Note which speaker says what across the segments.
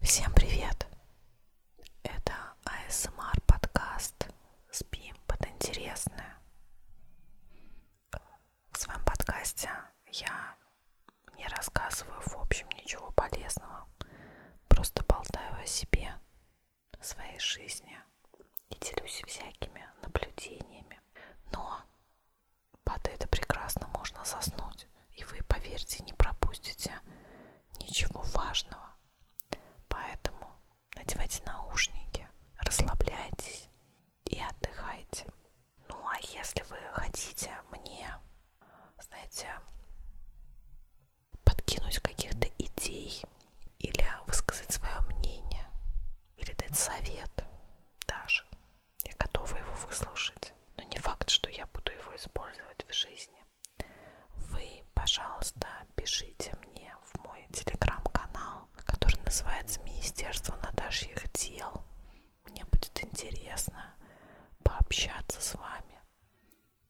Speaker 1: Всем привет! Это ASMR а подкаст «Спим под интересное». В своем подкасте я не рассказываю в общем ничего полезного, просто болтаю о себе, своей жизни и делюсь всякими наблюдениями. Но под это прекрасно можно заснуть, и вы, поверьте, не пропустите ничего важного. Поэтому надевайте наушники, расслабляйтесь и отдыхайте. Ну а если вы хотите мне, знаете, подкинуть каких-то идей или высказать свое мнение, или дать совет даже, я готова его выслушать. Но не факт, что я буду его использовать в жизни вы, пожалуйста, пишите мне в мой телеграм-канал, который называется Министерство Наташьих дел. Мне будет интересно пообщаться с вами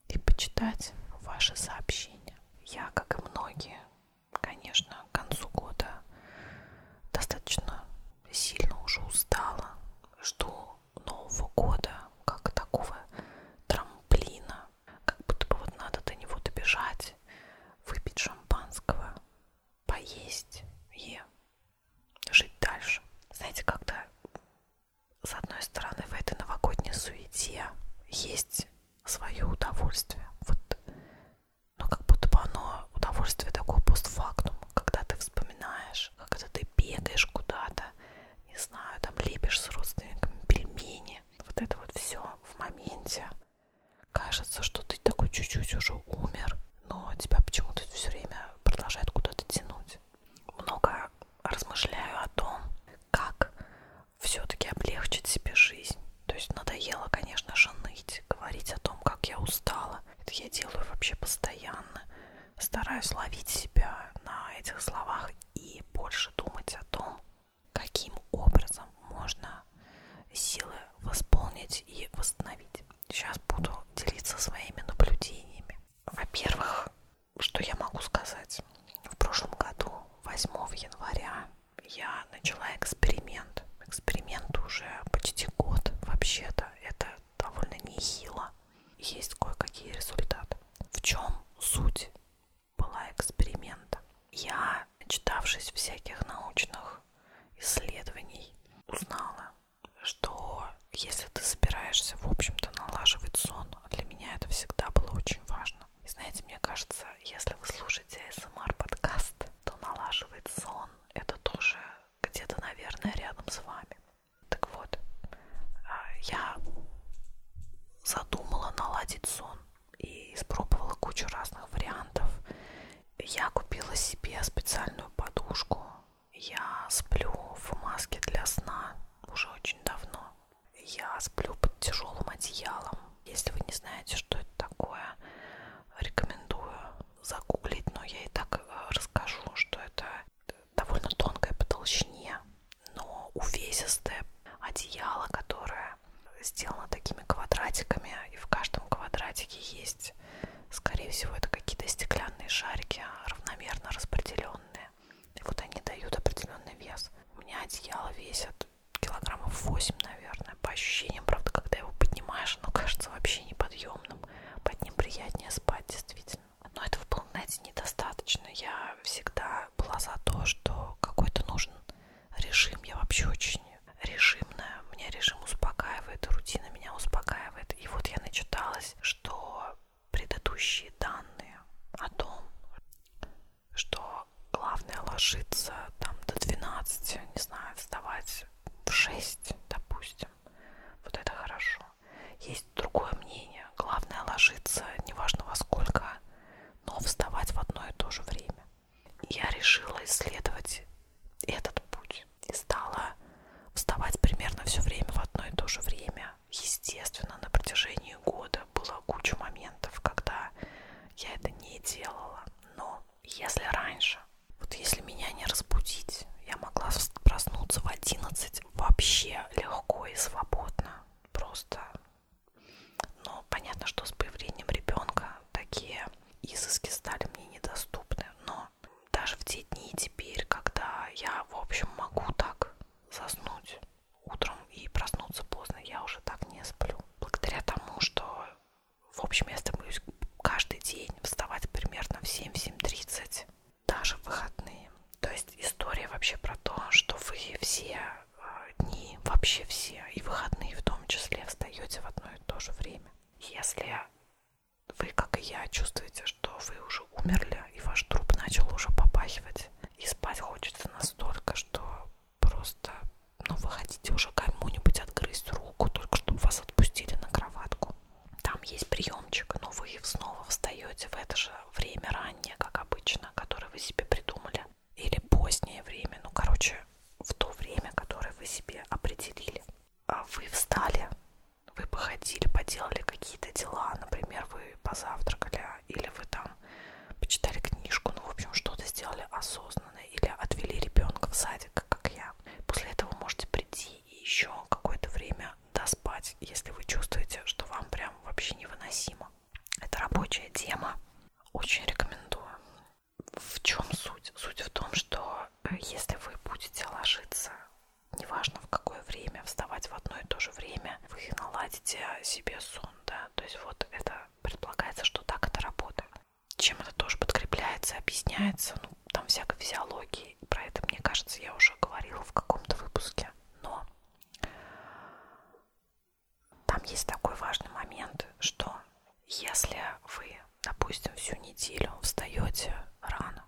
Speaker 1: и почитать ваши сообщения. Я, как и многие, конечно, к концу года достаточно сильно уже устала. Жду Нового года, как такого трамплина, как будто бы вот надо до него добежать, выпить шампанского, поесть и жить дальше. Знаете, когда с одной стороны в этой новогодней суете есть свое удовольствие, вот, но ну, как будто бы оно удовольствие такое постфактум, когда ты вспоминаешь, когда ты бегаешь куда-то, не знаю, там лепишь с родственниками пельмени. Вот это вот все в моменте. Кажется, что ты такой чуть-чуть уже умер, но тебя почему-то все время продолжает куда-то тянуть. Много размышляю о том, как все-таки облегчить себе жизнь. То есть надоело, конечно же, ныть, говорить о том, как я устала. Это я делаю вообще постоянно стараюсь ловить себя на этих словах и больше думать о том, каким образом можно силы восполнить и восстановить. Сейчас буду делиться своими наблюдениями. Во-первых, что я могу сказать? В прошлом году, 8 января, я начала эксперимент. Эксперимент уже почти год, вообще-то. Это довольно нехило есть кое-какие результаты. В чем суть была эксперимента? Я, читавшись всяких научных исследований, узнала, что если ты собираешься, в общем-то, налаживать сон, а для меня это всегда было очень важно. И знаете, мне кажется, если вы слушаете ASMR-подкаст, то налаживать сон — это тоже где-то, наверное, рядом с вами. Так вот, а, я задумала наладить сон и испробовала кучу разных вариантов. Я купила себе специальную подушку. Я сплю в маске для сна уже очень давно. Я сплю под тяжелым одеялом. Если вы не знаете, что это такое, рекомендую загуглить, но я и так э, расскажу, что это довольно тонкое по толщине, но увесистое одеяло, которое сделано такими квадратиками, и в каждом квадратике есть, скорее всего, это какие-то стеклянные шарики, равномерно распределенные. И вот они дают определенный вес. У меня одеяло весит килограммов 8, наверное, по ощущениям, правда, когда его поднимаешь, оно кажется вообще неподъемным. Под ним приятнее спать, действительно. Но этого было, знаете, недостаточно. Я всегда была за то, что какой-то нужен режим. Я вообще очень режимная. Меня режим успокаивает, рутина меня успокаивает. И вот я начиталась, что предыдущие данные о том, что главное ложиться там до 12, не знаю, вставать в 6, допустим. Вот это хорошо. Есть другое мнение. Главное ложиться, неважно во сколько, но вставать в одно и то же время. Я решила исследовать этот путь и стала вставать примерно все время в одно и то же время. Естественно, на протяжении года было куча моментов, когда я это не делала. Но если раньше, вот если меня не разбудить, я могла проснуться в 11, вообще легко и свободно. Просто, ну, понятно, что с появлением ребенка такие изыски стали мне недоступны, но даже в те дни теперь, когда я, в общем, могу так заснуть утром и проснуться поздно, я уже так не сплю. Благодаря тому, что, в общем, я стремлюсь каждый день вставать примерно в 7-7.30, даже в выходные. То есть история вообще про то, что вы все э, дни, вообще все, и выходные в том числе, встаете в одно и то же время. Если вы, как и я, чувствуете, что вы уже умерли, и ваш труп начал уже попахивать, и спать хочется настолько, что просто, ну, вы хотите уже кому-нибудь отгрызть руку, только чтобы вас отпустили на кроватку. Там есть приемчик, но вы снова встаете в это же время раннее, как обычно, которое вы себе придумали, или позднее время, ну, короче, в то время, которое вы себе определили. А вы встали, вы походили, поделали какие-то дела, например, вы позавтракали, или вы там почитали книжку, ну, в общем, что-то сделали осознанно, или отвели ребенка в садик, как я. После этого можете прийти и еще какое-то время доспать, если вы чувствуете, что вам прям вообще невыносимо. Это рабочая тема. Очень рекомендую. В чем суть? Суть в том, что э, если вы будете ложиться, неважно в какое время, вставать в одно и то же время, вы наладите себе сон, да. То есть вот это предполагается, что так это работает. Чем это тоже подкрепляется, объясняется, ну, там всякой физиологии. Про это, мне кажется, я уже говорила в каком-то выпуске. Но там есть такой важный момент, что если вы, допустим, всю неделю встаете рано,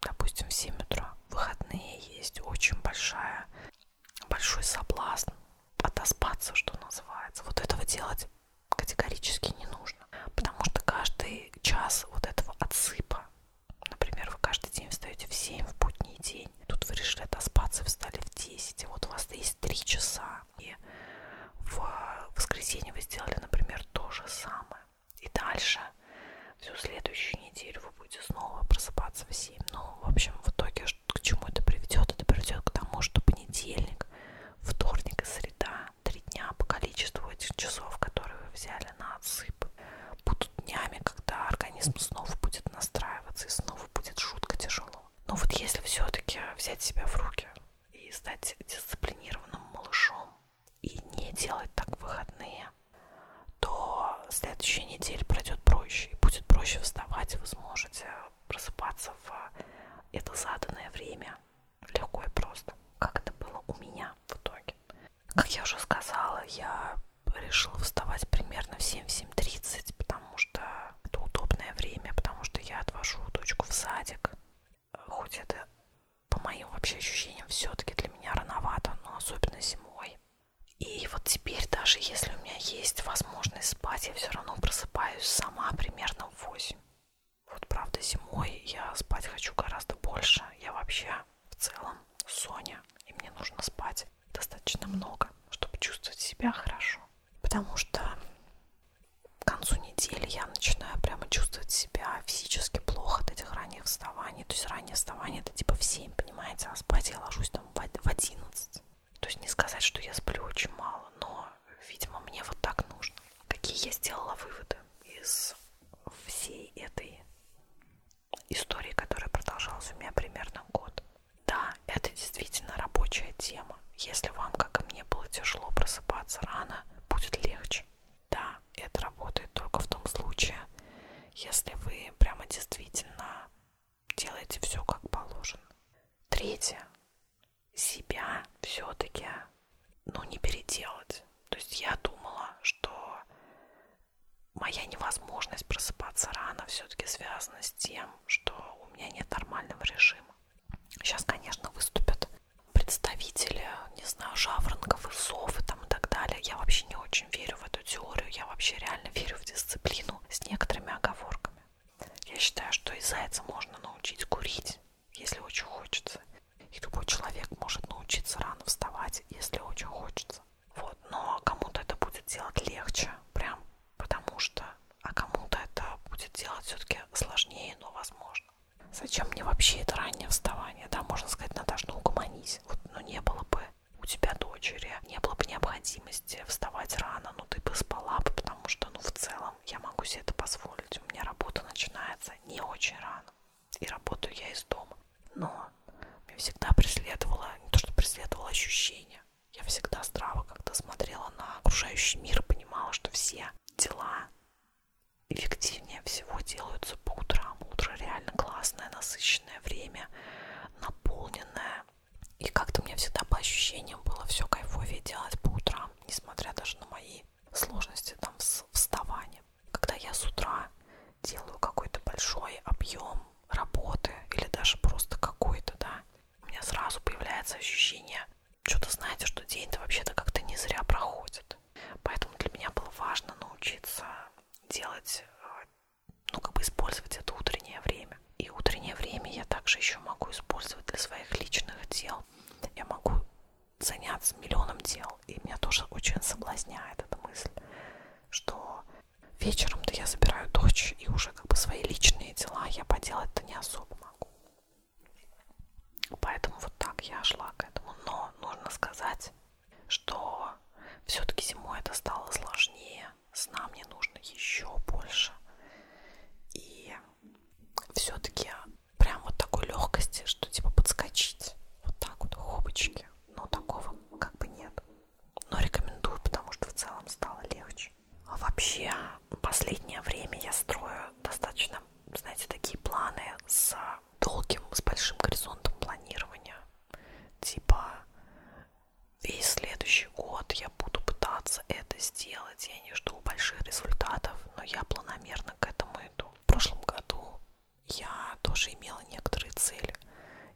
Speaker 1: допустим, в 7 утра, в выходные есть очень большая, большой соблазн отоспаться, что называется. Вот этого делать категорически не нужно, потому что каждый час вот этого отсыпа Например, вы каждый день встаете в 7 в будний день. Тут вы решили отоспаться, встали в 10. И вот у вас есть 3 часа. И в э, воскресенье вы сделали, например, то же самое. И дальше всю следующую неделю вы будете снова просыпаться в 7. Ну, в общем, в итоге к чему это приведет? Это приведет к тому, что понедельник, вторник и среда, три дня по количеству этих часов, которые вы взяли на отсып, будут днями, когда организм снова будет настраиваться и снова будет жутко тяжело. Но вот если все-таки взять себя в руки и стать дисциплинированным малышом и не делать так выходные, то следующая неделя пройдет проще и будет проще вставать, вы сможете просыпаться в это заданное время легко и просто, как это было у меня в итоге. Как я уже сказала, я решила вставать примерно в 7-7.30, потому что это удобное время, потому что я отвожу дочку в садик. Хоть это, по моим вообще ощущениям, все-таки для меня рановато, но особенно зимой. И вот теперь, даже если у меня есть возможность спать, я все равно просыпаюсь сама примерно в 8. Вот правда, зимой я спать хочу гораздо больше. Я вообще я в целом Соня, и мне нужно спать достаточно много, чтобы чувствовать себя хорошо. Потому что к концу недели я начинаю прямо чувствовать себя физически плохо от этих ранних вставаний. То есть раннее вставание это типа в 7, понимаете, а спать я ложусь там в 11. То есть не сказать, что я сплю очень мало, но, видимо, мне вот так нужно. Какие я сделала выводы из всей этой истории, которая продолжалась у меня примерно год. Да, это действительно рабочая тема. Если вам, как и мне, было тяжело просыпаться рано, будет легче. Да, это работает только в том случае, если вы прямо действительно делаете все как положено. Третье. Себя все-таки, ну, не переделать. То есть я думала, что моя невозможность просыпаться рано все-таки связана с тем, что у меня нет нормального режима. Сейчас, конечно, выступят представители, не знаю, жаворонков и сов и там и так далее. Я вообще не очень верю в эту теорию, я вообще реально верю в дисциплину с некоторыми оговорками. Я считаю, что и зайца можно научить курить, если очень хочется. И любой человек может научиться рано вставать, если очень хочется. Вот. Но кому-то это будет делать легче, прям потому что, а кому-то это будет делать все-таки сложнее, но возможно. Зачем мне вообще это раннее вставание? Да, можно сказать, Наташ, ну угомонись. Вот, ну не было бы у тебя дочери, не было бы необходимости вставать рано, но ну, ты бы спала бы, потому что, ну, в целом, я могу себе это позволить. У меня работа начинается не очень рано, и работаю я из дома но меня всегда преследовало, не то что преследовало ощущение, я всегда здраво как-то смотрела на окружающий мир и понимала, что все дела эффективнее всего делаются по утрам. Утро реально классное, насыщенное время, наполненное. И как-то мне всегда по ощущениям было все кайфовее делать по утрам, несмотря даже на мои сложности там с вставанием. Когда я с утра делаю какой-то большой объем работы или даже просто какой-то, да, у меня сразу появляется ощущение, что-то знаете, что день-то вообще-то как-то не зря проходит. Поэтому для меня было важно научиться делать, э, ну, как бы использовать это утреннее время. И утреннее время я также еще могу использовать для своих личных дел. Я могу заняться миллионом дел, и меня тоже очень соблазняет эта мысль, что Вечером-то я забираю дочь, и уже как бы свои личные дела я поделать-то не особо могу. Поэтому вот так я шла к этому. Но нужно сказать, что все-таки зимой это стало сложнее. Сна мне нужно еще больше. И все-таки прям вот такой легкости, что типа подскочить. Вот так вот, хопочки. Но такого как бы нет но рекомендую, потому что в целом стало легче. А вообще, последнее время я строю достаточно, знаете, такие планы с долгим, с большим горизонтом планирования. Типа, весь следующий год я буду пытаться это сделать. Я не жду больших результатов, но я планомерно к этому иду. В прошлом году я тоже имела некоторые цели.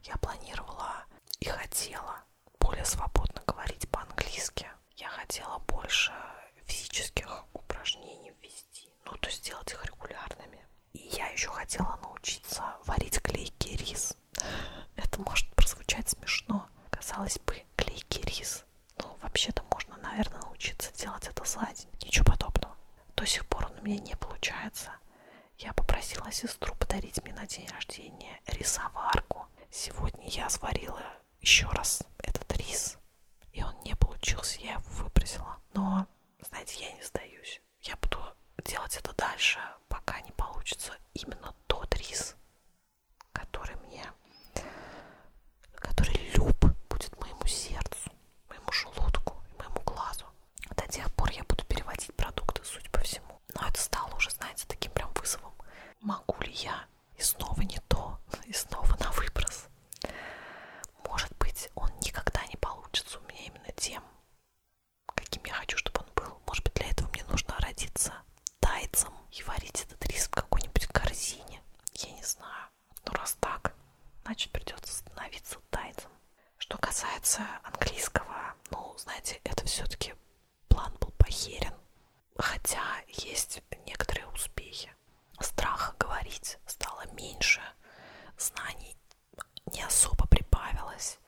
Speaker 1: Я планировала и хотела более свободно говорить по-английски. Я хотела больше физических упражнений ввести, ну, то есть сделать их регулярными. И я еще хотела научиться варить клейкий рис. Это может прозвучать смешно. Казалось бы, клейкий рис. Ну, вообще-то можно, наверное, научиться делать это за день. Ничего подобного. До сих пор он у меня не получается. Я попросила сестру подарить мне на день рождения рисоварку. Сегодня я сварила еще раз этот рис, и он не получился, я его выбросила. Но, знаете, я не сдаюсь. Я буду делать это дальше, пока не получится именно тот рис, который мне, который люб будет моему сердцу, моему желудку и моему глазу. До тех пор я буду переводить продукты, судя по всему. Но это стало уже, знаете, таким прям вызовом. Могу ли я? И снова не то, и снова на выброс. Может быть, он никогда не получится у меня именно тем, каким я хочу, чтобы он был. Может быть, для этого мне нужно родиться тайцем и варить этот рис в какой-нибудь корзине. Я не знаю. Но раз так, значит придется становиться тайцем. Что касается английского, ну, знаете, это все-таки план был похерен. Хотя есть некоторые успехи. Страха говорить стало меньше, знаний не особо прибавилось,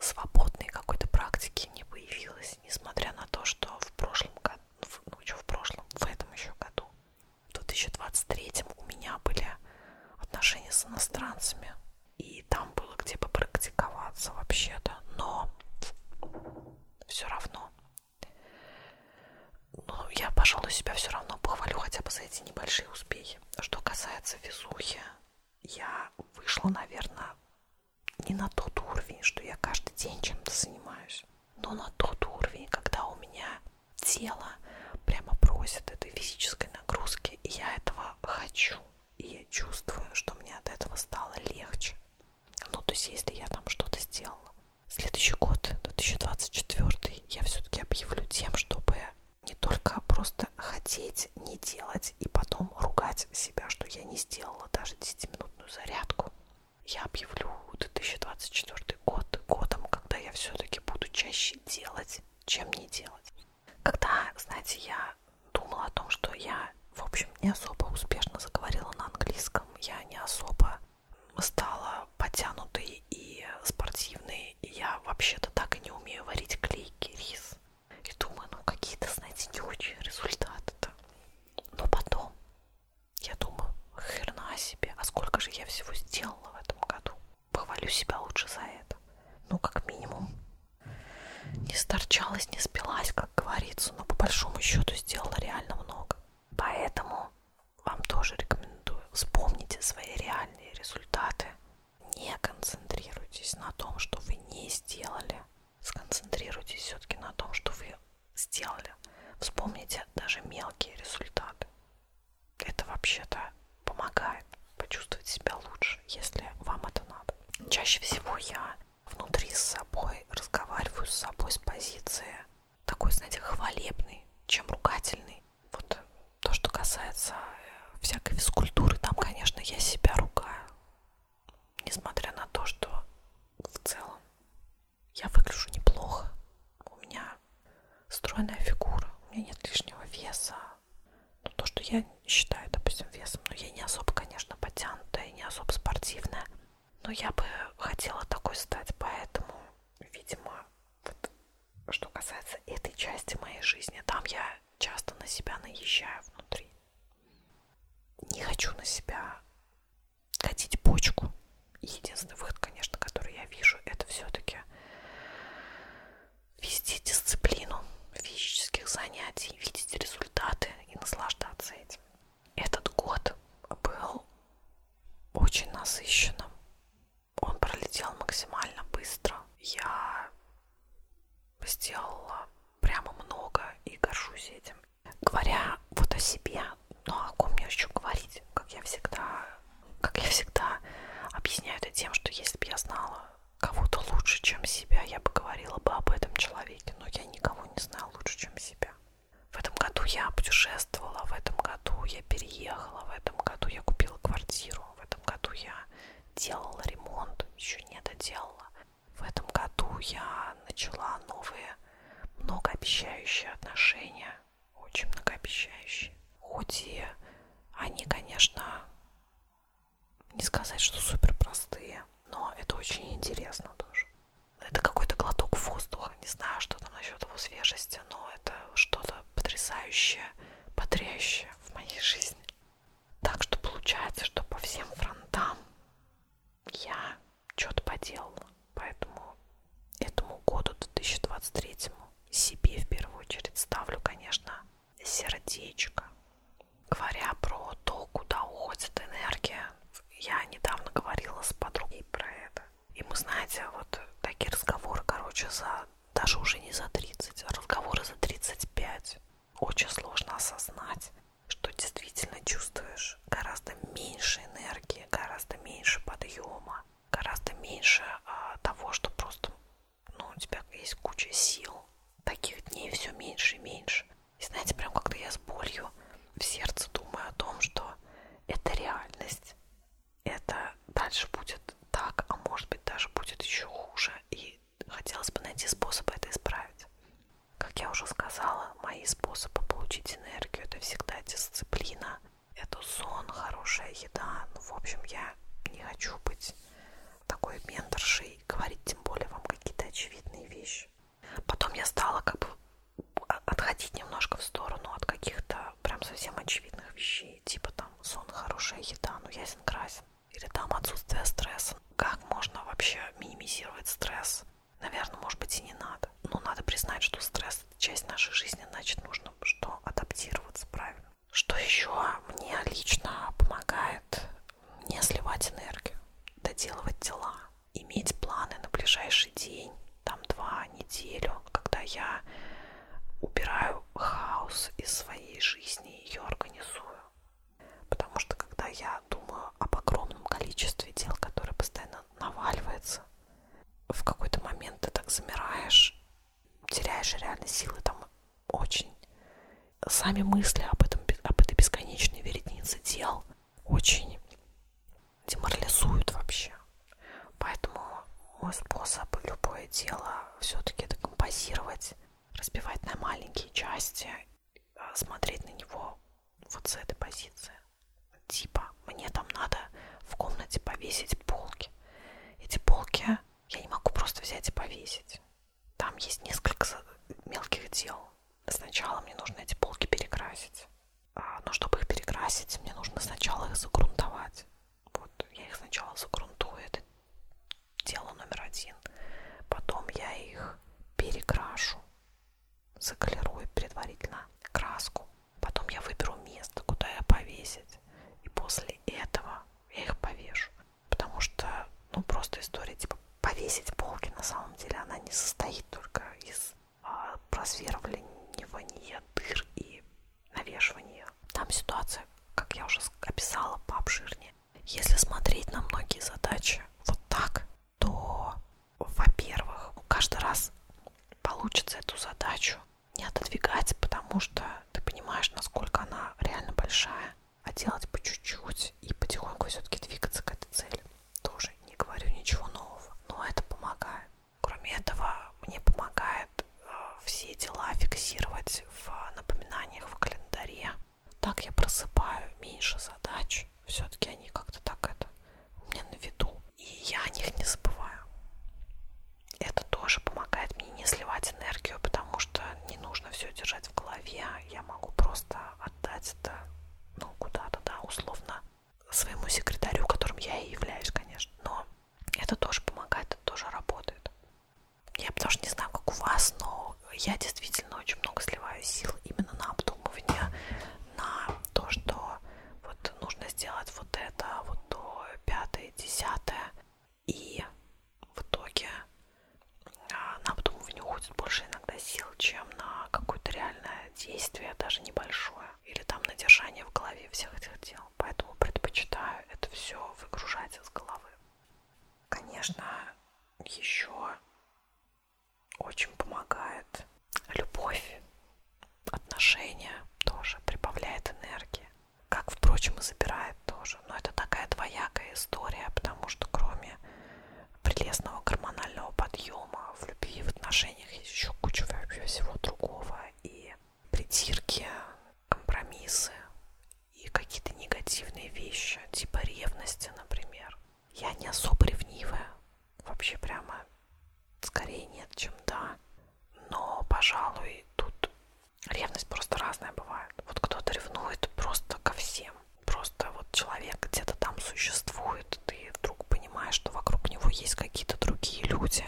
Speaker 1: свободной какой-то практики не появилось, несмотря на то, что в прошлом году, ну что в прошлом, в этом еще году, в 2023 у меня были отношения с иностранцами и там было где бы практиковаться вообще-то, но все равно. Ну, я, пожалуй, себя все равно похвалю хотя бы за эти небольшие успехи. Что касается везухи, я вышла, наверное, не на тот уровень, что я каждый день чем-то занимаюсь, но на тот уровень, когда у меня тело прямо просит этой физической нагрузки, и я этого хочу. И я чувствую, что мне от этого стало легче. Ну, то есть, если я там что-то сделала. Следующий год, 2024, я все-таки объявлю тем, чтобы не только просто хотеть не делать и потом ругать себя, что я не сделала даже 10-минутную зарядку. Я объявлю 2024 год годом, когда я все-таки буду чаще делать, чем не делать. Когда, знаете, я думала о том, что я, в общем, не особо успешно заговорила на английском, я не особо стала потянутой и спортивной, и я вообще-то так и не умею варить клейкий рис. И думаю, ну какие-то, знаете, не очень результаты-то. Но потом я думаю, херна себе, а сколько же я всего сделала в этом году. Похвалю себя лучше за это. Ну, как минимум, не сторчалась, не спилась, как говорится, но по большому счету сделала реально много. Поэтому вам тоже рекомендую вспомните свои реальные результаты. Не концентрируйтесь на том, что вы не сделали. Сконцентрируйтесь все-таки на том, что вы сделали. Вспомните даже мелкие результаты. Это вообще-то помогает почувствовать себя лучше, если вам это надо. Чаще всего я внутри с собой разговариваю с собой с позиции такой, знаете, хвалебный, чем ругательный. Вот то, что касается э, всякой физкультуры, там, конечно, я себя ругаю. Несмотря на то, что в целом я выгляжу неплохо. У меня стройная фигура, у меня нет лишнего веса, ну, то, что я считаю, допустим, весом, но ну, я не особо, конечно, потянутая, не особо спортивная, но я бы хотела такой стать, поэтому, видимо, вот, что касается этой части моей жизни, там я часто на себя наезжаю внутри. Не хочу на себя катить почку. Единственный выход, конечно, который я вижу, это все-таки вести дисциплину физических занятий, видеть результаты и наслаждаться этим. Этот год был очень насыщенным. Он пролетел максимально быстро. Я сделала прямо много и горжусь этим. Говоря вот о себе, ну а о ком мне еще говорить, как я всегда, как я всегда объясняю это тем, что если бы я знала, кого-то лучше, чем себя, я бы говорила бы об этом человеке, но я никого не знаю лучше, чем себя. В этом году я путешествовала, в этом году я переехала, в этом году я купила квартиру, в этом году я делала ремонт, еще не доделала. В этом году я начала новые многообещающие отношения, очень многообещающие. Хоть и они, конечно, не сказать, что супер простые, но это очень интересно тоже. Это какой-то глоток воздуха, не знаю, что там насчет его свежести, но это что-то потрясающее, потрясающее в моей жизни. Так что получается, что по всем фронтам я что-то поделала, поэтому этому году 2023 себе в первую очередь ставлю, конечно, сердечко. Говоря про то, куда уходит энергия, я недавно говорила с подругой про это. И мы, знаете, вот такие разговоры, короче, за даже уже не за 30, а разговоры за 35. Очень сложно осознать, что действительно чувствуешь гораздо меньше энергии, гораздо меньше подъема, гораздо меньше а, того, что просто ну, у тебя есть куча сил, таких дней все меньше и меньше. И знаете, прям как-то я с болью в сердце думаю о том, что это реальность. Это дальше будет так, а может быть даже будет еще хуже. И хотелось бы найти способы это исправить. Как я уже сказала, мои способы получить энергию это всегда дисциплина, это сон, хорошая еда. Ну, в общем, я не хочу быть такой менторшей говорит тем более вам какие-то очевидные вещи. Потом я стала как бы отходить немножко в сторону от каких-то прям совсем очевидных вещей, типа там сон, хорошая еда, ну ясен красен, или там отсутствие стресса. Как можно вообще минимизировать стресс? Наверное, может быть и не надо. Но надо признать, что стресс это часть нашей жизни, значит нужно что адаптироваться правильно. Что еще мне лично помогает не сливать энергию, доделывать дела, иметь планы на ближайший день, там два, неделю, когда я убираю хаос из своей жизни, ее организую. Потому что когда я думаю об огромном количестве дел, которые постоянно наваливаются, в какой-то момент ты так замираешь, теряешь реально силы там очень. Сами мысли об, этом, об этой бесконечной веретнице дел очень деморализуют вообще. Поэтому мой способ любое дело все-таки это композировать, разбивать на маленькие части, э, смотреть на него вот с этой позиции. Типа, мне там надо в комнате повесить полки. Эти полки я не могу просто взять и повесить. Там есть несколько мелких дел. Сначала мне нужно эти полки перекрасить. А, но чтобы их перекрасить, мне нужно сначала их загрунтовать. Вот я их сначала загрунтую, это дело номер один. Потом я их перекрашу, заколерую предварительно краску. Потом я выберу место, куда я повесить. И после этого я их повешу потому что, ну, просто история, типа, повесить полки, на самом деле, она не состоит только из а, просверливания дыр и навешивания. Там ситуация, как я уже описала, пообширнее. Если смотреть на многие задачи вот так, то, во-первых, ну, каждый раз получится эту задачу не отодвигать, потому что ты понимаешь, насколько она реально большая а делать по чуть-чуть и потихоньку все-таки двигаться к этой цели. Тоже не говорю ничего нового, но это помогает. Кроме этого, мне помогает э, все дела фиксировать в напоминаниях в календаре. Так я просыпаю меньше задач. Все-таки они как-то так это у меня на виду. И я о них не забываю. Это тоже помогает мне не сливать энергию, потому что что не нужно все держать в голове, а я могу просто отдать это ну, куда-то, да, условно своему секретарю, которым я и являюсь, конечно. Но это тоже помогает, это тоже работает. Я потому что не знаю, как у вас, но я действительно очень много сливаю сил именно на обдумывание, на то, что вот нужно сделать вот это, вот то, пятое, десятое. И в итоге а, на обдумывание уходит больше иногда сил, чем на какое-то реальное действие, даже небольшое, или там надержание в голове всех этих дел. Поэтому предпочитаю это все выгружать из головы. Конечно, еще очень помогает любовь, отношения тоже прибавляет энергии, как, впрочем, и забирает тоже мужу. Но это такая двоякая история, потому что кроме прелестного гормонального подъема в любви и в отношениях есть еще куча вообще всего другого. И притирки, компромиссы и какие-то негативные вещи, типа ревности, например. Я не особо ревнивая. Вообще прямо скорее нет, чем да. Но, пожалуй, тут ревность просто разная бывает. Вот кто-то ревнует просто ко всем. Просто вот человек где-то там существует, и ты вдруг понимаешь, что вокруг него есть какие-то другие люди,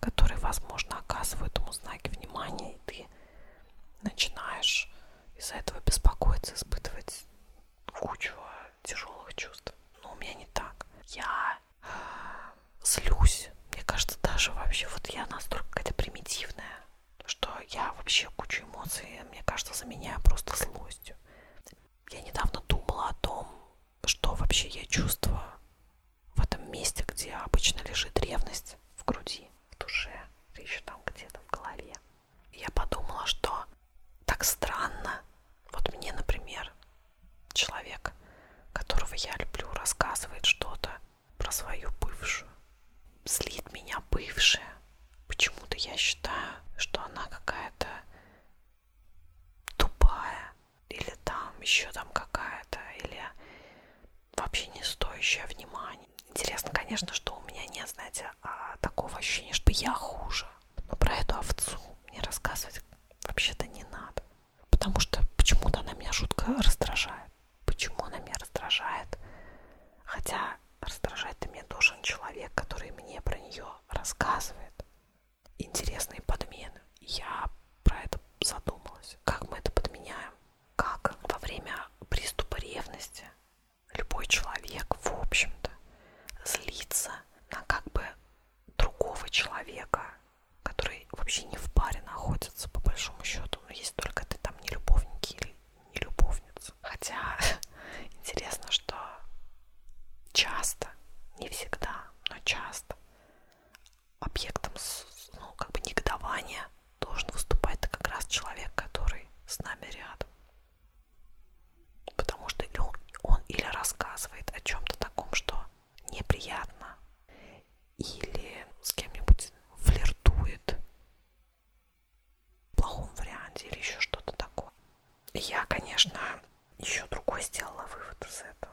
Speaker 1: которые, возможно, оказывают ему знаки внимания, и ты начинаешь из-за этого беспокоиться, испытывать кучу тяжелых чувств. Но у меня не так. Я а, злюсь. Мне кажется, даже вообще вот я настолько какая-то примитивная что я вообще кучу эмоций, мне кажется, заменяю просто злостью. Я недавно думала о том, что вообще я чувствую в этом месте, где обычно лежит ревность в груди, в душе, еще там где-то в голове. И я подумала, что так странно. Вот мне, например, человек, которого я люблю, рассказывает что-то про свою бывшую злит меня бывшая. Почему-то я считаю, что она какая-то тупая или там еще там какая-то, или вообще не стоящая внимания. Интересно, конечно, что у меня нет, знаете, а, такого ощущения, что я хуже. Но про эту овцу мне рассказывать вообще-то не надо. Потому что почему-то она меня жутко раздражает почему она меня раздражает. Хотя раздражать-то меня должен человек, который мне про нее рассказывает. Интересные подмены. Я про это задумалась. Как мы это подменяем? Как во время приступа ревности любой человек, в общем-то, злится на как бы другого человека, который вообще не в паре находится, по большому счету. Но есть только ты там не любовники или не любовниц. Хотя интересно, что часто, не всегда, но часто объектом ну, как бы негодования должен выступать как раз человек, который с нами рядом. Потому что он, он или рассказывает о чем-то таком, что неприятно, или с кем-нибудь флиртует, плохом варианте или еще что-то такое. Я, конечно, еще другой сделала вывод из этого.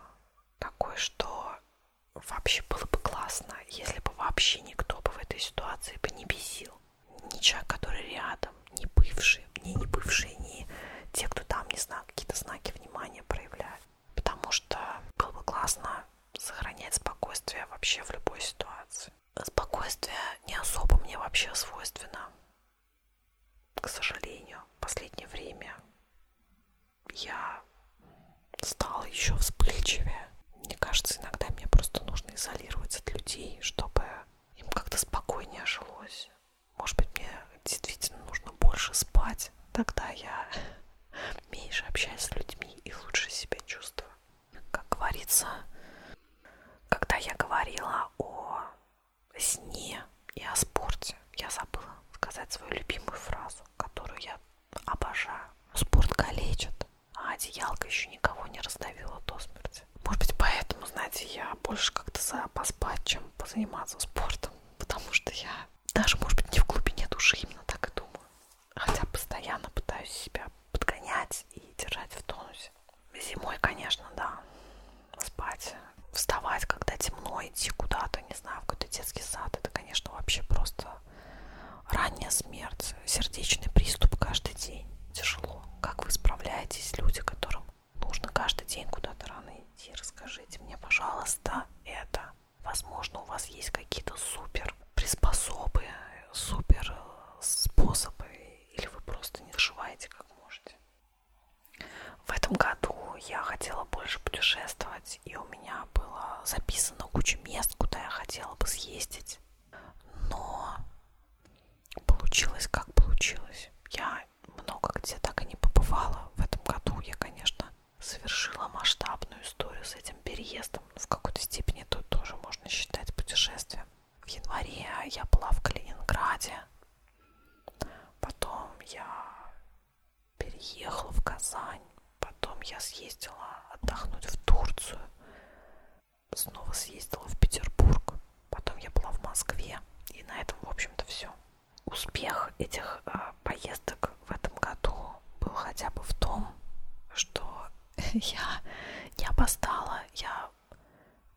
Speaker 1: Такой, что вообще было бы классно, если бы вообще никто бы в этой ситуации бы не бесил. Ни человек, который рядом, ни бывший, ни не бывший, ни те, кто там, не знаю, какие-то знаки внимания проявляют. Потому что было бы классно сохранять спокойствие вообще в любой ситуации. Спокойствие не особо мне вообще свойственно. К сожалению, в последнее время я стала еще вспыльчивее. Мне кажется, иногда мне просто нужно изолироваться от людей, чтобы им как-то спокойнее жилось. Может быть, мне действительно нужно больше спать. Тогда я меньше общаюсь с людьми и лучше себя чувствую как говорится, когда я говорила о сне и о спорте, я забыла сказать свою любимую фразу, которую я обожаю. Спорт калечит, а одеялка еще никого не раздавила до смерти. Может быть, поэтому, знаете, я больше как-то за поспать, чем позаниматься спортом, потому что я даже, может быть, не в глубине души именно так и думаю. Хотя постоянно пытаюсь себя подгонять и держать в тонусе. Зимой, конечно, да. Спать, вставать, когда темно, идти куда-то, не знаю, в какой-то детский сад. Это, конечно, вообще просто ранняя смерть, сердечный приступ каждый день. Тяжело. Как вы справляетесь, люди, которым нужно каждый день куда-то рано идти? Расскажите мне, пожалуйста, это. Возможно, у вас есть какие-то супер приспособы, супер э, способы, или вы просто не доживаете как можете. В этом году я хотела больше путешествовать, и у меня было записано куча мест, куда я хотела бы съездить. Но получилось как получилось. Я много где так и не побывала. В этом году я, конечно, совершила масштабную историю с этим переездом. В какой-то степени это тоже можно считать путешествием в январе я была в Калининграде, потом я переехала в Казань, потом я съездила отдохнуть в Турцию, снова съездила в Петербург, потом я была в Москве, и на этом, в общем-то, все. Успех этих э, поездок в этом году был хотя бы в том, что Я не опоздала, я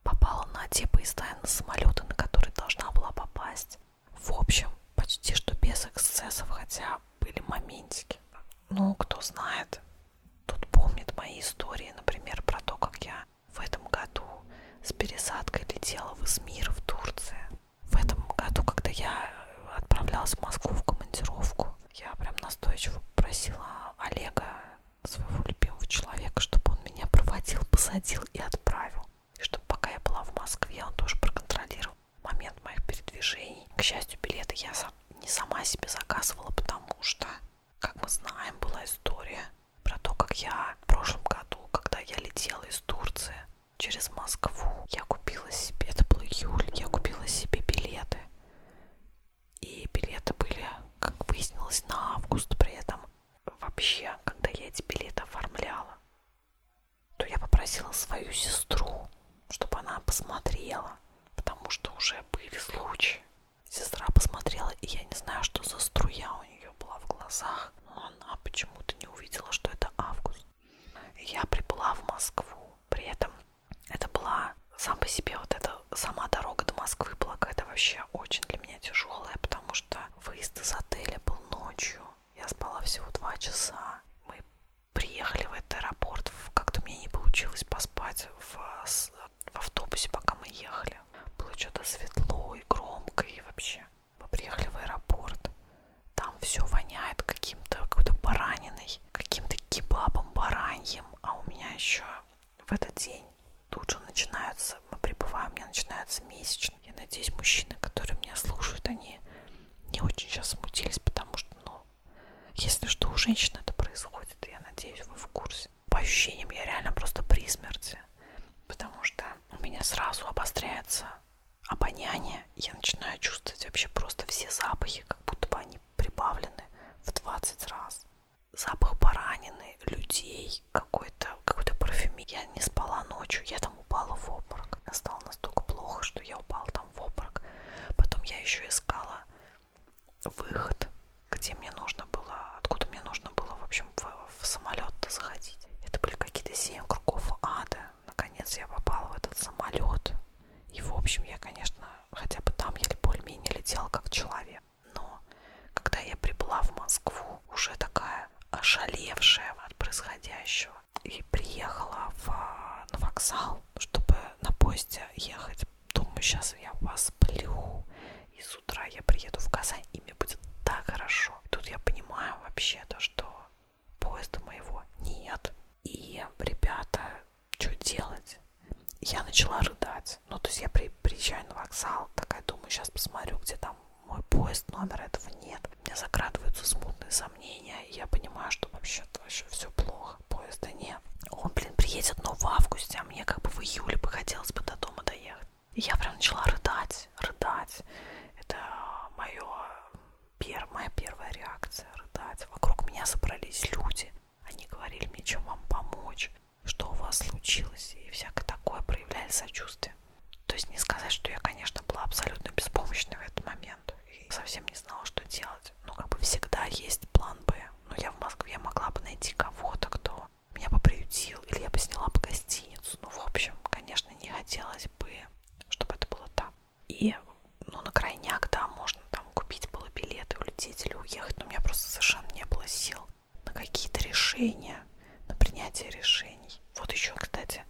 Speaker 1: попала на типа из на самолета, на который должна была попасть. В общем, почти что без эксцессов, хотя были моментики. Ну, кто знает, тут помнит мои истории, например, про то, как я в этом году с пересадкой летела в Измир, в Турции. В этом году, когда я отправлялась в Москву в командировку, я прям настойчиво просила Олега своего любимого человека, чтобы он меня проводил, посадил и отправил. И чтобы пока я была в Москве, он тоже проконтролировал момент моих передвижений. К счастью, билеты я не сама себе заказывала, потому что, как мы знаем, была история про то, как я в прошлом году, когда я летела из Турции через Москву, я купила себе, это был июль, я купила себе билеты и билеты были, как выяснилось, на август при этом. Вообще, когда я эти билеты оформляла, то я попросила свою сестру, чтобы она посмотрела, потому что уже были случаи. Сестра посмотрела, и я не знаю, что за струя у нее была в глазах, но она почему-то не увидела, что это август. Я прибыла в Москву, при этом это была сам по себе вот эта сама дорога до Москвы была какая-то вообще очень для меня тяжелая, потому что выезд из отеля был ночью. Я спала всего два часа. Мы приехали в этот аэропорт. Как-то мне не получилось поспать в, в автобусе, пока мы ехали. Было что-то светло и громко, и вообще. Мы приехали в аэропорт. Там все воняет каким-то какой-то бараниной, каким-то кебабом бараньем. А у меня еще в этот день тут же начинаются, мы пребываем, у меня начинается месячный. Я надеюсь, мужчины, которые меня слушают, они не очень сейчас смутились, потому что, ну, если что, у женщин это происходит, я надеюсь, вы в курсе. По ощущениям, я реально просто при смерти, потому что у меня сразу обостряется обоняние, я начинаю чувствовать вообще просто все запахи, как будто бы они прибавлены в 20 раз запах баранины, людей, какой-то какой-то парфюме. Я не спала ночью, я там упала в обморок. Мне стало настолько плохо, что я упала там в обморок. Потом я еще искала выход, где мне нужно было, откуда мне нужно было, в общем, в, в самолет-то заходить. Это были какие-то семь кругов ада. Наконец я попала в этот самолет. И, в общем, я, конечно, хотя бы там еле более-менее летела как человек. Но когда я прибыла в Москву, уже такая ошалевшая от происходящего, и приехала в, а, на вокзал, чтобы на поезде ехать, думаю, сейчас я вас сплю, и с утра я приеду в Казань, и мне будет так хорошо. И тут я понимаю вообще то, что поезда моего нет. И ребята что делать? Я начала рыдать. Ну, то есть я при, приезжаю на вокзал, такая думаю, сейчас посмотрю, где там мой поезд, номер этого нет. У меня закрадываются смутные сомнения, и я понимаю, что вообще-то вообще все плохо, поезда нет. Он, блин, приедет, но в августе, а мне как бы в июле бы хотелось бы до дома доехать. И я прям начала рыдать, рыдать. Это мое пер, моя первая реакция, рыдать. Вокруг меня собрались люди. Они говорили мне, чем вам помочь что у вас случилось, и всякое такое, проявляли сочувствие. То есть не сказать, что я, конечно, была абсолютно беспомощна в этот момент и совсем не знала, что делать. Но ну, как бы всегда есть план Б. Но ну, я в Москве могла бы найти кого-то, кто меня бы приютил, или я бы сняла бы гостиницу. Ну, в общем, конечно, не хотелось бы, чтобы это было там. И, ну, на крайняк, да, можно там купить было билеты, улететь или уехать, но у меня просто совершенно не было сил на какие-то решения, на принятие решений. Вот еще, кстати,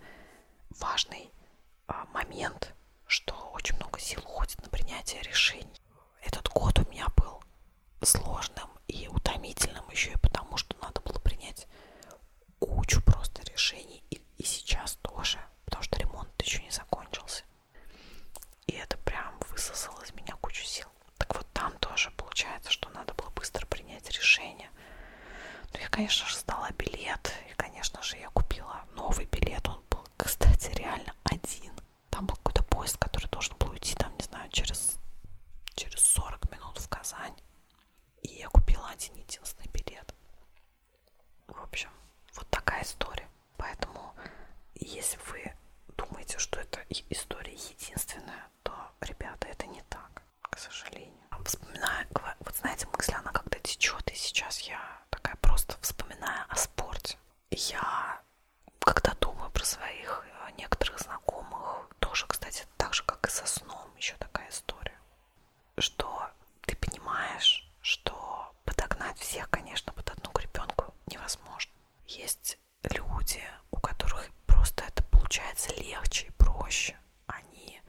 Speaker 1: важный а, момент, что очень много сил уходит на принятие решений. Этот год у меня был сложным и утомительным еще и потому, что надо было принять кучу просто решений и, и сейчас тоже, потому что ремонт еще не закончился. И это прям высосало из меня кучу сил. Так вот там тоже получается, что надо было быстро принять решение. Ну, я, конечно же, сдала билет. И, конечно же, я купила новый билет. Он был, кстати, реально один. Там был какой-то поезд, который должен был уйти, там, не знаю, через, через 40 минут в Казань. И я купила один единственный билет. В общем, вот такая история. Поэтому, если вы думаете, что эта история единственная, то, ребята, это не так, к сожалению. А вспоминаю, вот знаете, мысль, она как-то течет, и сейчас я такая просто вспоминаю о спорте. Я, когда думаю про своих э, некоторых знакомых, тоже, кстати, так же, как и со сном, еще такая история, что ты понимаешь, что подогнать всех, конечно, под одну гребенку невозможно. Есть люди, у которых просто это получается легче и проще, они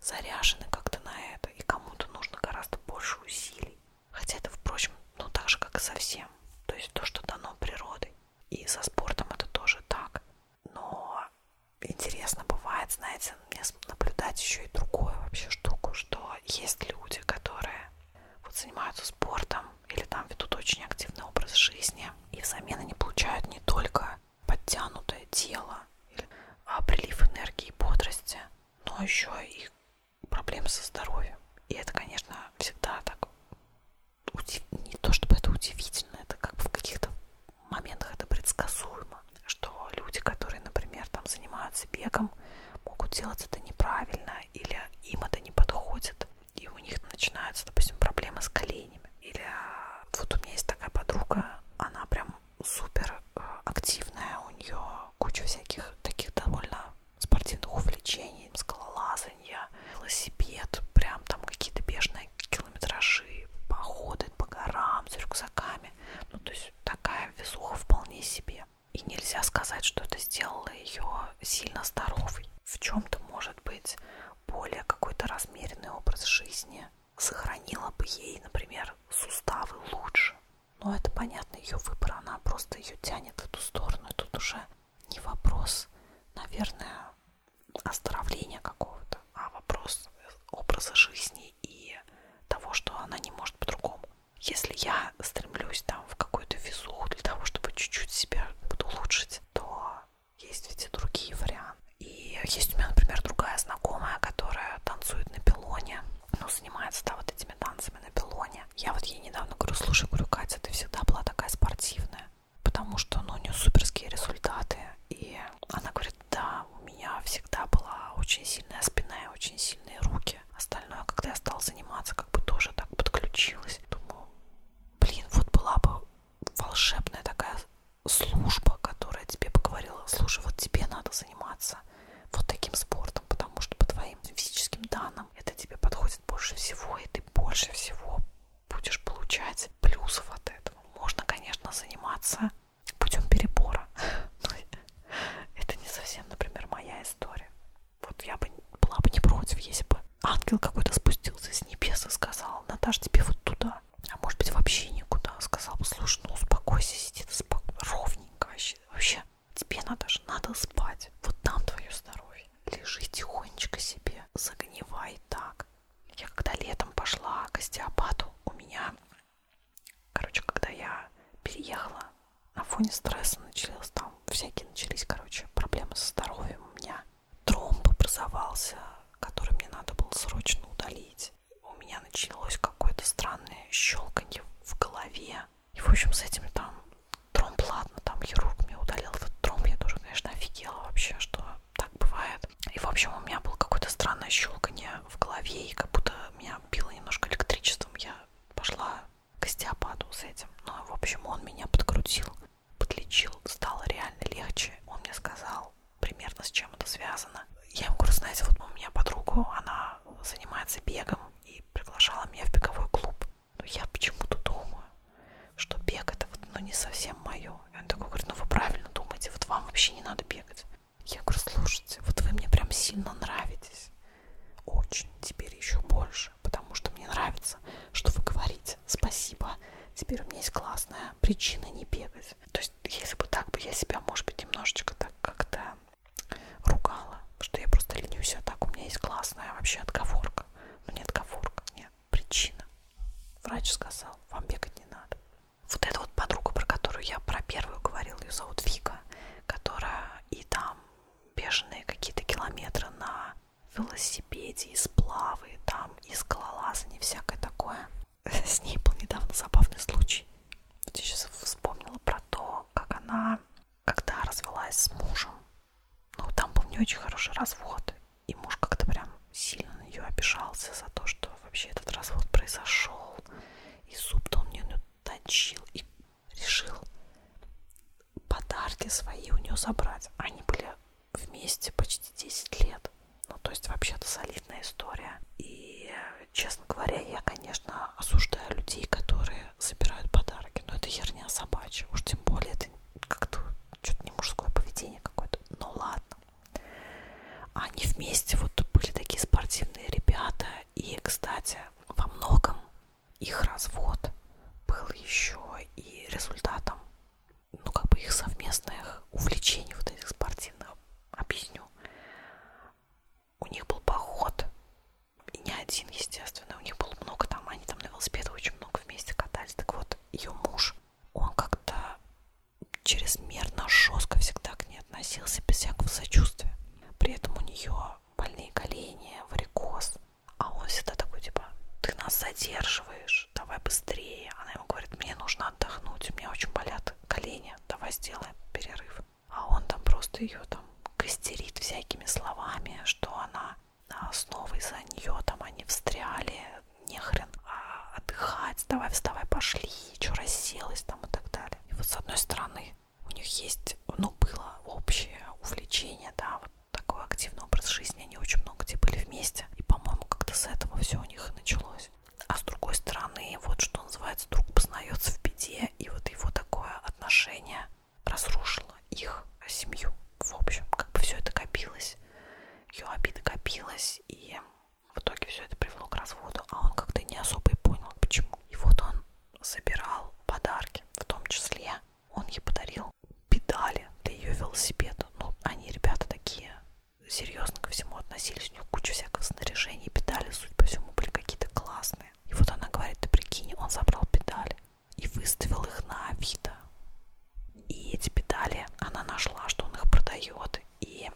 Speaker 1: заряжены как-то на это, и кому-то нужно гораздо больше усилий. Хотя это, впрочем, ну так же, как и со всем. То есть то, что дано природой. И со спортом это тоже так. Но интересно бывает, знаете, мне наблюдать еще и другую вообще штуку, что есть люди, которые вот занимаются спортом или там ведут очень активный образ жизни, и взамен они получают не только подтянутое тело, а прилив энергии и бодрости, но еще и проблемы со здоровьем. И это, конечно, всегда так удив... не то чтобы это удивительно, это как бы в каких-то моментах это предсказуемо, что люди, которые, например, там занимаются бегом, могут делать это неправильно или им это не подходит и у них начинаются, допустим, проблемы с коленями. Или а, вот у меня есть такая подруга, она прям супер э, активная, у нее куча всяких таких довольно спортивных увлечений, скалолазания, велосипед, прям там какие-то бешеные километражи, походы по горам с рюкзаками. Ну, то есть такая везуха вполне себе. И нельзя сказать, что это сделало ее сильно здоровой. В чем-то, может быть, более какой-то размеренный образ жизни сохранила бы ей, например, суставы лучше. Но это понятно, ее выбор, она просто ее тянет в эту сторону. И тут уже не вопрос, наверное, оздоровления какого-то, а вопрос образа жизни и того, что она не может по-другому. Если я стремлюсь там в какую-то везуху для того, чтобы чуть-чуть себя улучшить, то есть ведь и другие варианты. И есть у меня, например, другая знакомая, которая танцует на пилоне, ну, занимается, да, вот этими танцами на пилоне. Я вот ей недавно говорю, слушай, говорю, Катя, ты всегда была такая спортивная, потому что, ну, у нее суперские результаты. И она говорит, да, у меня всегда была очень сильная спина и очень сильные руки музыки. Остальное, когда я стала заниматься, как бы тоже так подключилась. Думаю, блин, вот была бы волшебная такая служба, которая тебе поговорила, слушай, вот тебе надо заниматься вот таким спортом, потому что по твоим физическим данным это тебе подходит больше всего, и ты больше всего будешь получать плюсов от этого. Можно, конечно, заниматься путем перебора, но это не совсем, например, моя история. Вот я бы была бы не против, если бы ангел какой-то спустился с небес и сказал, Наташ, тебе вот туда. А может быть вообще никуда. Сказал бы, слушай, ну успокойся, сиди ты спо... ровненько вообще. Вообще, тебе, Наташа, надо спать. Вот там твое здоровье. Лежи тихонечко себе, загнивай так. Я когда летом пошла к остеопату, у меня, короче, когда я переехала на фоне стресса началось там всякие начались, короче, проблемы со здоровьем у меня. Тромб образовался, который мне надо было срочно удалить. У меня началось какое-то странное щелканье в голове. И, в общем, с этими там тромб, ладно, там хирург мне удалил этот тромб. Я тоже, конечно, офигела вообще, что так бывает. И, в общем, у меня было какое-то странное щелканье в голове, и как будто меня било немножко электричеством. Я пошла к остеопату с этим. Ну, в общем, он меня подкрутил, подлечил, стало реально легче. Он мне сказал примерно с чем это связано. Я ему говорю, знаете, вот у меня подругу, она занимается бегом и приглашала меня в беговой клуб. Но ну, я почему-то думаю, что бег это вот, ну, не совсем мое. И он такой говорит, ну вы правильно думаете, вот вам вообще не надо бегать. Я говорю, слушайте, вот вы мне прям сильно нравитесь. Очень, теперь еще больше больше, потому что мне нравится, что вы говорите «спасибо», теперь у меня есть классная причина не бегать. То есть, если бы так бы я себя, может быть, немножечко так как-то ругала, что я просто ленюсь, а так у меня есть классная вообще отговорка. Ну, не отговорка, нет, причина. Врач сказал, вам бегать не надо. Вот эта вот подруга, про которую я про первую говорила, ее зовут Вика, которая и там бешеные какие-то километры на велосипеде, и сплавы, там, и скалолазание, всякое такое. С ней был недавно забавный случай. Вот я сейчас вспомнила про то, как она, когда развелась с мужем, ну, там был не очень хороший развод, и муж как-то прям сильно на нее обижался за то, что вообще этот развод произошел, и зуб-то он мне точил, и решил подарки свои у нее забрать. Они были вместе почти 10 лет. Ну, то есть вообще-то солидная история. И, честно говоря, я, конечно, осуждаю людей, которые собирают подарки. Но это херня собачья. Уж тем более это как-то что-то не мужское поведение какое-то. Ну ладно. Они вместе вот были такие спортивные ребята. И, кстати, во многом их развод был еще и результатом, ну, как бы их совместных увлечений вот этих спортивных. Объясню. У них был поход, и не один, естественно, у них было много там, они там на велосипедах очень много вместе катались. Так вот, ее муж, он как-то чрезмерно жестко всегда к ней относился, без всякого сочувствия. При этом у нее больные колени, варикоз, а он всегда такой, типа, ты нас задерживаешь, давай быстрее. Она ему говорит, мне нужно отдохнуть, у меня очень болят колени, давай сделаем перерыв. А он там просто ее там костерит всякими словами, что она а, снова из-за нее, там они встряли, нехрен а отдыхать, давай вставай, пошли, что расселась там и так далее. И вот с одной стороны у них есть, ну, было общее увлечение, да, вот такой активный образ жизни, они очень много где были вместе. И, по-моему, как-то с этого все у них и началось. А с другой стороны, вот что называется, друг познается в беде, и вот его такое отношение разрушило их семью. В общем, как бы все это копилось, ее обида копилась, и в итоге все это привело к разводу, а он как-то не особо и понял, почему. И вот он собирал подарки, в том числе он ей подарил педали для ее велосипеда. Ну, они, ребята, такие серьезно ко всему относились. У нее куча всякого снаряжения, педали, судя по всему, были какие-то классные. И вот она говорит, ты прикинь, он забрал педали и выставил их на Авито. И эти педали, она нашла, что он их продает. И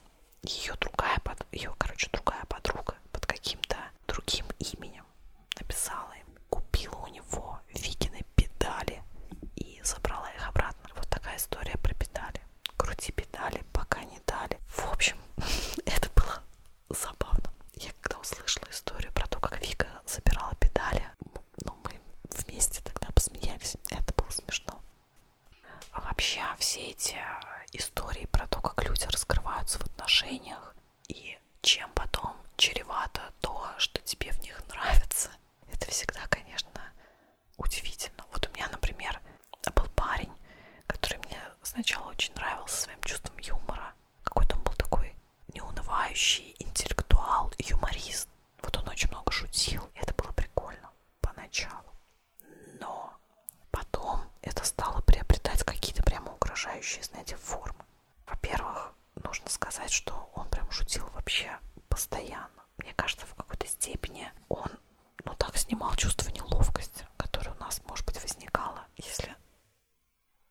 Speaker 1: ее другая, ее, короче, другая подруга под каким-то другим именем написала им, купила у него Викины педали и забрала их обратно. Вот такая история про педали. Крути педали, пока не дали. В общем, это было забавно. Я когда услышала историю про то, как Вика забирала педали, ну, мы вместе тогда посмеялись. Это было смешно. А вообще все эти истории про то, как люди раскрываются в отношениях, и чем потом чревато то, что тебе в них нравится. Это всегда, конечно, удивительно. Вот у меня, например, был парень, который мне сначала очень нравился своим чувством юмора. Какой-то он был такой неунывающий интеллектуал, юморист. Вот он очень много шутил, и это было прикольно поначалу. Но потом это стало приобретать какие-то прямо угрожающие, знаете, формы. Во-первых, нужно сказать, что он прям шутил вообще постоянно. Мне кажется, в какой-то степени он ну так снимал чувство неловкости, которое у нас, может быть, возникало, если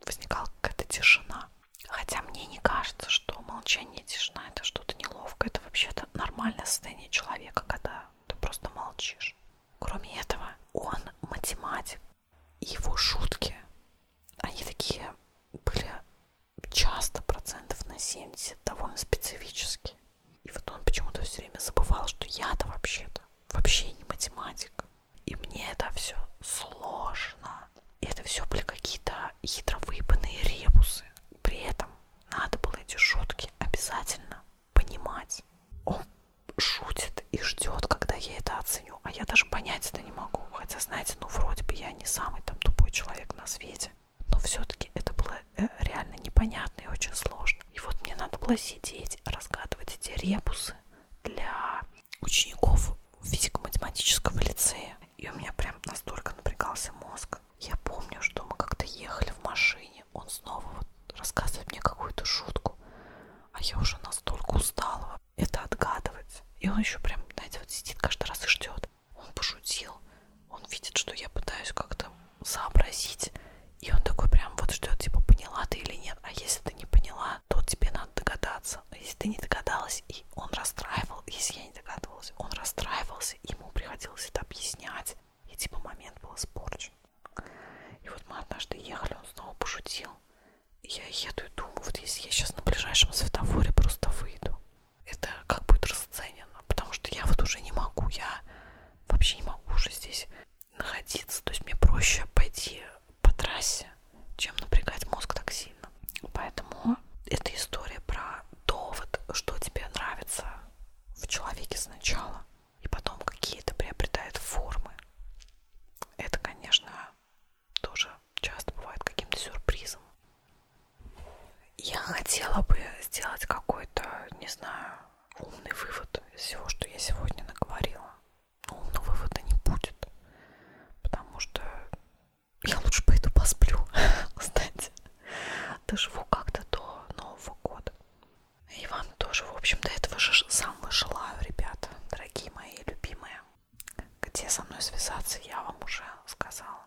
Speaker 1: возникала какая-то тишина. Хотя мне не кажется, что молчание и тишина это что-то неловкое. Это вообще-то нормальное состояние человека, когда ты просто молчишь. Кроме этого, он математик. Его шутки они такие были часто процентов на 70, довольно специфические. И вот он почему-то все время забывал, что я-то вообще-то вообще не математик. И мне это все сложно. И это все были какие-то хитро выебанные ребусы. При этом надо было эти шутки обязательно понимать. Он шутит и ждет, когда я это оцениваю ценю, а я даже понять это не могу. Хотя, знаете, ну вроде бы я не самый там тупой человек на свете. Но все-таки это было э, реально непонятно и очень сложно. И вот мне надо было сидеть, разгадывать эти ребусы для учеников физико-математического лицея. И у меня прям настолько напрягался мозг. Я помню, что мы как-то ехали в машине. Он снова вот рассказывает мне какую-то шутку. А я уже настолько устала это отгадывать. И он еще прям, знаете, вот сидит каждый раз и ждет. Он пошутил, он видит, что я пытаюсь как-то сообразить. И он такой прям вот ждет, типа, поняла ты или нет. А если ты не поняла, то тебе надо догадаться. А если ты не догадалась, и он расстраивал, если я не догадывалась, он расстраивался, ему приходилось это объяснять. И типа момент был испорчен. И вот мы однажды ехали, он снова пошутил я еду и думаю, вот если я сейчас на ближайшем светофоре просто выйду, это как будет расценено, потому что я вот уже не могу, я вообще не могу уже здесь находиться, то есть мне проще пойти по трассе, чем напрягать мозг так сильно. Поэтому это история про довод, что тебе нравится в человеке сначала, и потом какие-то приобретает формы. Это, конечно, тоже часто бывает каким-то сюрпризом. Я хотела бы сделать какой-то, не знаю, умный вывод из всего, что я сегодня наговорила. Но умного вывода не будет, потому что я лучше пойду посплю, кстати. Доживу как-то до Нового года. И вам тоже, в общем, до этого же самого желаю, ребята, дорогие мои любимые. Где со мной связаться, я вам уже сказала.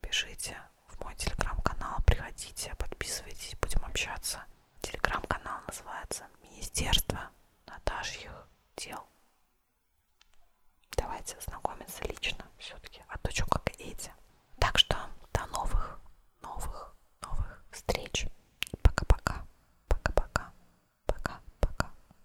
Speaker 1: Пишите в мой телеграм-канал, приходите, подписывайтесь, будем общаться. Телеграм-канал называется Министерство Наташьих дел. Давайте знакомиться лично все-таки, а то что как эти. Так что до новых, новых, новых встреч. Пока-пока, пока-пока, пока-пока.